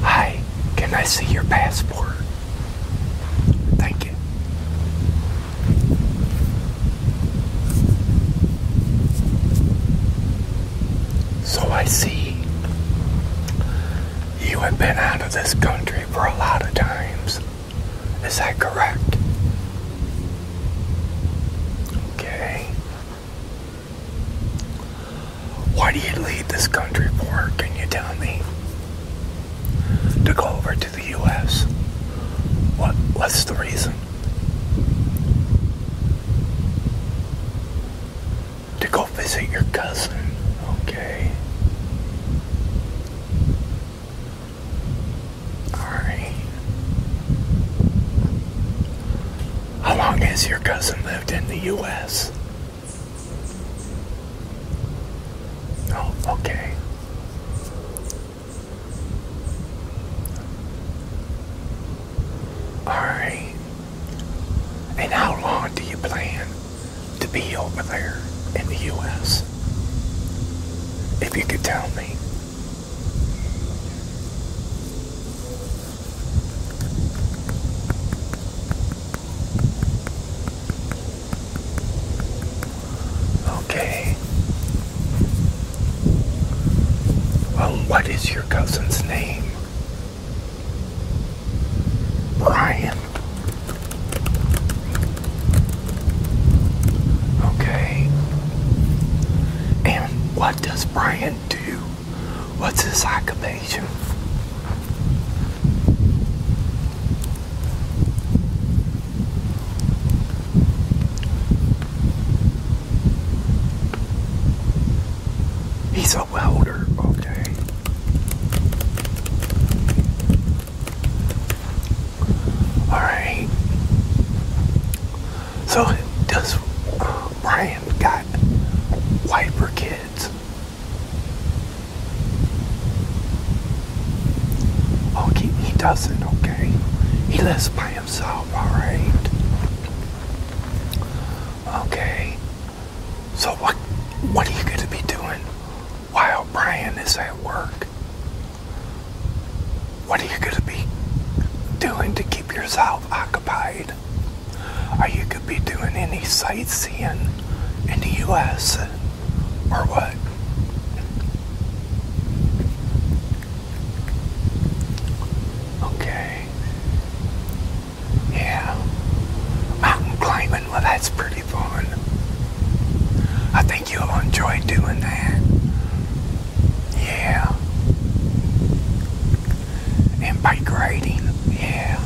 Hi, can I see your passport? Thank you. So I see you have been out of this country for a lot of times. Is that correct? Okay. Why do you leave this country for? Can you tell me? To go over to the U.S. What? What's the reason? To go visit your cousin, okay? Alright. How long has your cousin lived in the U.S.? Oh, okay. Alright. And how long do you plan to be over there in the U.S. If you could tell me. Okay. Well, what is your cousin's name? Brian. Okay. And what does Brian do? What's his occupation? He's a welder, okay. Alright. So, does Brian got wiper kids? Okay, oh, he doesn't, okay. He lives by himself, alright. Okay. So what what are you gonna be doing while Brian is at work. What are you going to be doing to keep yourself occupied? Are you going to be doing any sightseeing in the U.S. or what? Okay. Yeah. Mountain climbing well, that's pretty fun. I think you'll enjoy doing that. Yeah. And bike riding. Yeah.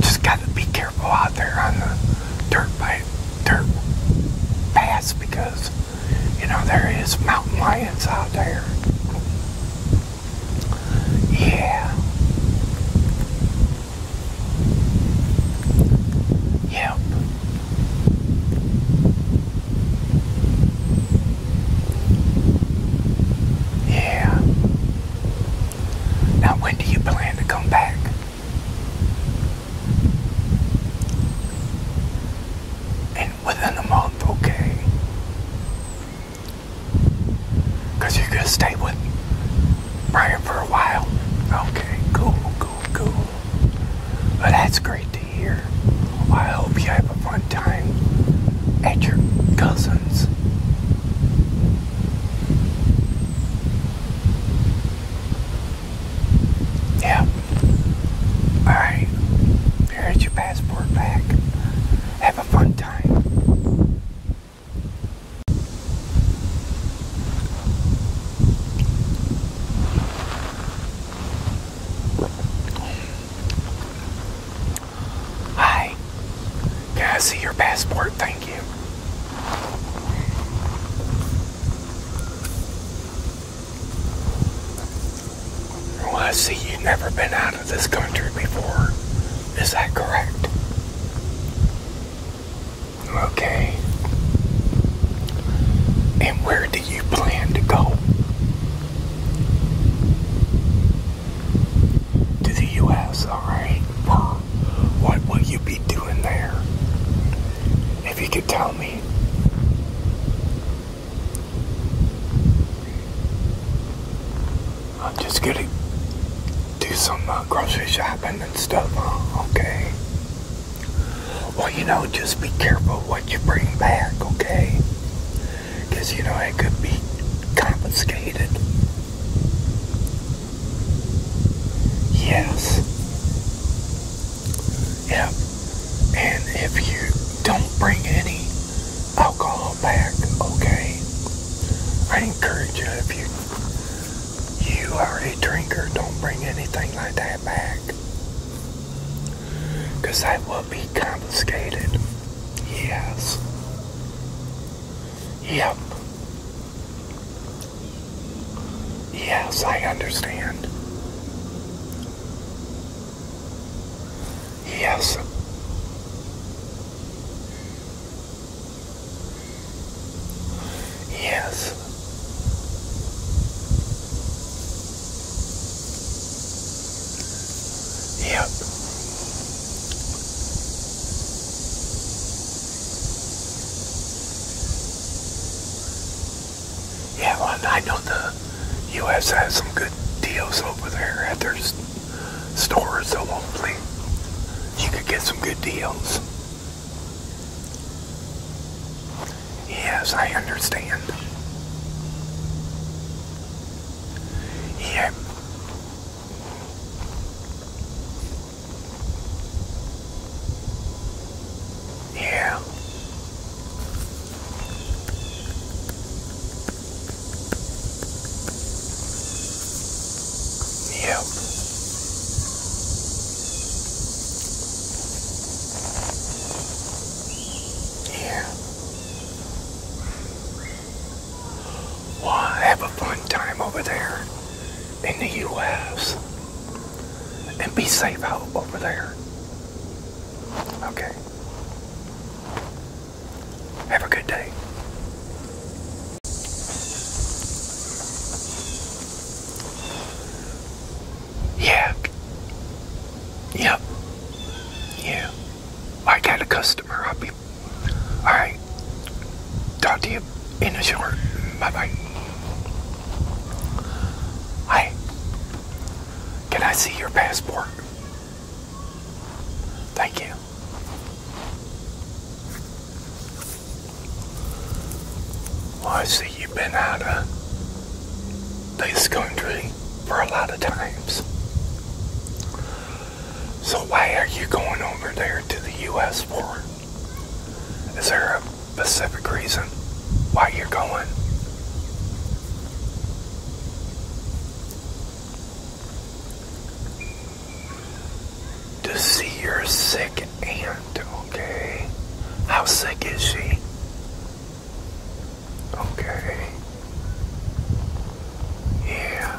Just gotta be careful out there on the dirt bike, dirt pass because, you know, there is mountain lions out there. Yeah. Yep. Yeah. Now, when do you plan to come back? And within a month, okay. Because you're going to stay with Brian for a while. Okay, cool, cool, cool. Well, that's great to hear. I hope you have a fun time at your cousin's. Yeah. Alright. Here's your passport back. Have a fun time. Hi. Can I see your passport? Thank you. Well, I see you've never been out of this country before. Is that correct? Okay. And where do you plan to go? To the U.S., alright? What will you be doing there? If you could tell me. I'm just gonna do some uh, grocery shopping and stuff, uh, okay? Well, you know, just be careful what you bring back, okay? Because, you know, it could be confiscated. Yes. Yep. And if you don't bring any alcohol back, okay? I encourage you if you you are a drinker, don't bring anything like that back. Because that will be confiscated. Yes. Yep. Yes, I understand. Yes. Yes. Yep. Yeah, well, I know the U.S. has some good deals over there at their stores, so hopefully you could get some good deals. Yes, I understand. Yeah. Yeah. You. Yeah. Well, have a fun time over there in the U.S. and be safe out over there. Okay. Have a good day. Yeah. Yep. Yeah. I got a customer. I'll be. Alright. Talk to you in a short. Bye bye. Hi. Can I see your passport? Thank you. I see you've been out of this country for a lot of times. So why are you going over there to the U.S. for? Is there a specific reason why you're going? to see your sick aunt, okay? How sick is she? Okay. Yeah.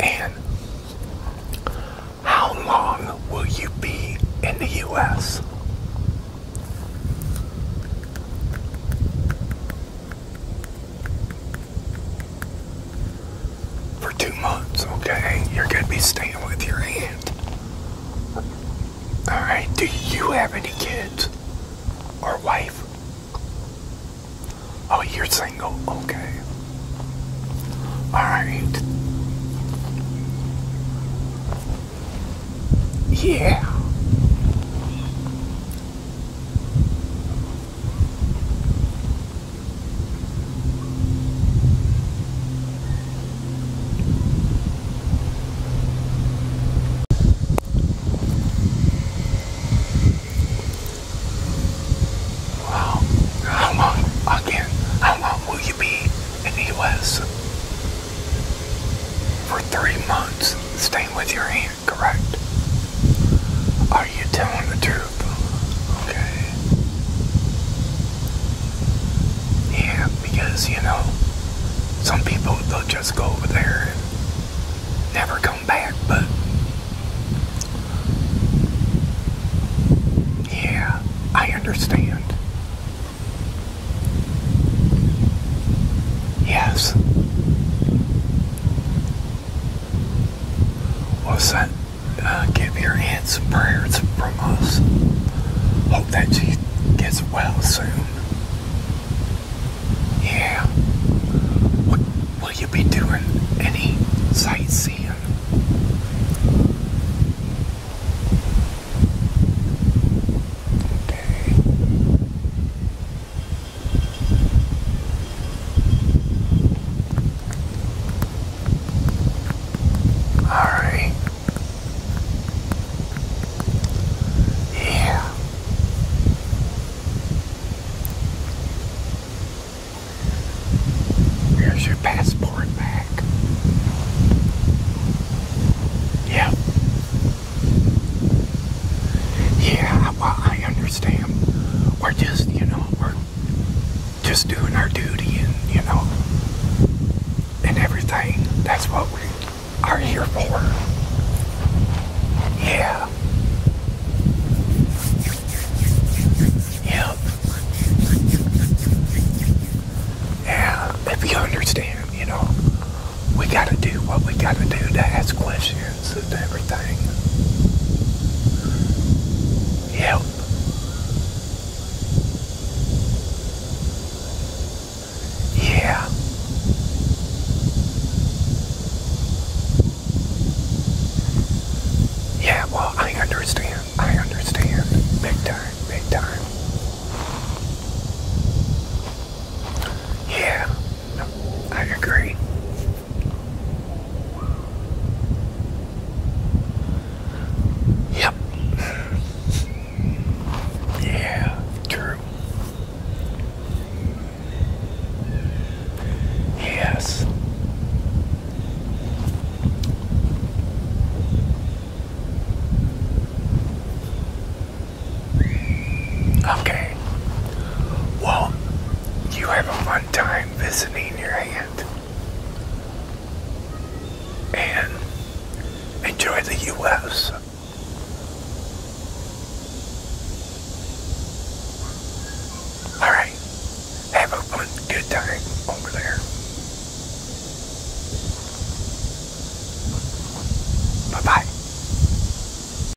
And how long will you be in the U.S.? For two months, okay? You're going to be staying with your aunt. Alright, do you have any kids? Or wife? Oh, you're single, okay. Alright. Yeah. Wow, how long again? How long will you be in the U.S. for three months, staying with your aunt? correct? Are you telling the truth? Okay. Yeah, because you know, some people they'll just go over there and never come back, but yeah, I understand. Yes. What's that? Uh, give your aunt some prayers from us. Hope that she gets well soon. Yeah. What will you be doing? Any Alrighty. Yeah. Here's your passport back. Yeah. Yeah, well, I understand. We're just, you know, we're just doing our duty and, you know, and everything. That's what we are here for. Yeah. Yep. Yeah, if you understand, you know, we gotta do what we gotta do to ask questions experience everything. Yeah. Yeah, well, I understand. I understand. Big time, big time. Yeah, I agree. Yep. Yeah, true. Yes. Okay. Well, you have a fun time visiting your aunt. And enjoy the U.S. Alright. Have a fun, good time over there. Bye-bye.